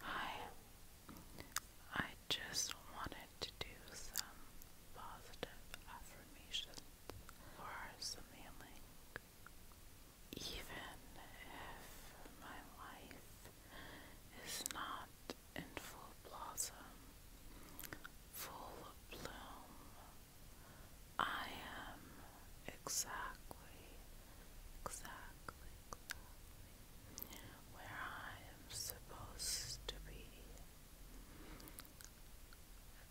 Hi, I just wanted to do some positive affirmations for some Even if my life is not in full blossom, full bloom, I am exactly, exactly, exactly where I am supposed to be.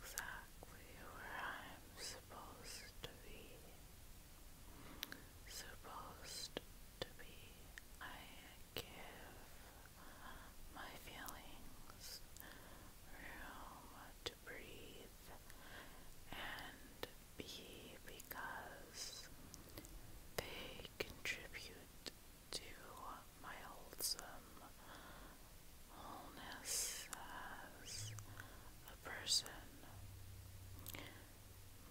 Exactly where I am supposed to be. Supposed to be. I give my feelings room to breathe and be because they contribute to my wholesome wholeness as a person.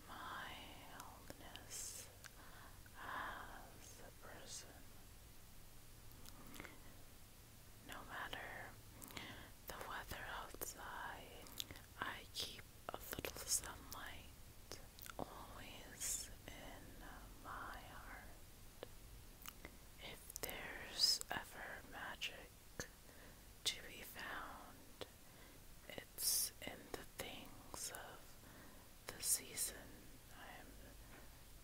My wholeness as a person. No matter the weather outside, I keep a little sunlight always in my heart. If there's ever magic to be found, it's in the things of the season I am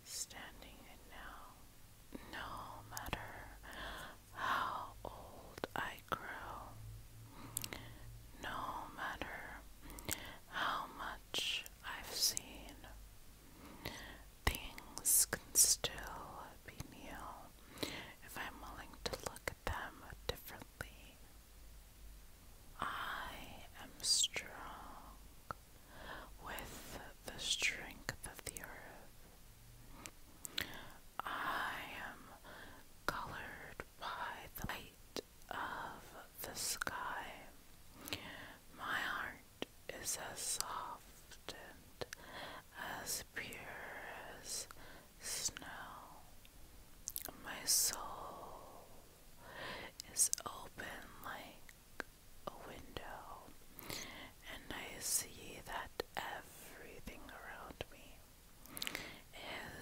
standing in now. No matter how old I grow, no matter how much I've seen, things can still be new if I'm willing to look at them differently. I am strong with the strength of the earth. I am colored by the light of the sky. My heart is as soft and as pure as snow. My soul is open like a window, and I see that everything around me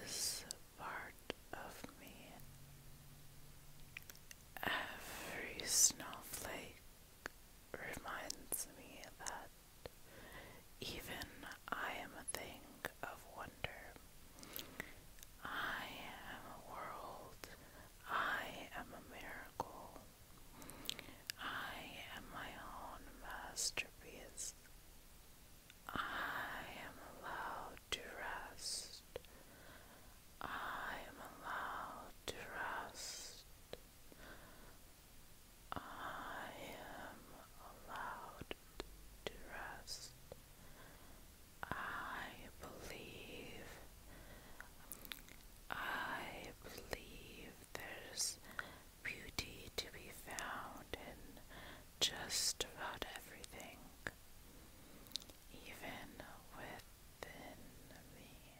is part of me. Every snowflake reminds me that even I am a thing of wonder. I am a world. I am a miracle. I am my own masterpiece. I am allowed to rest. I am allowed to rest. I am allowed to rest. I believe. I believe there's beauty to be found in just about everything, even within me.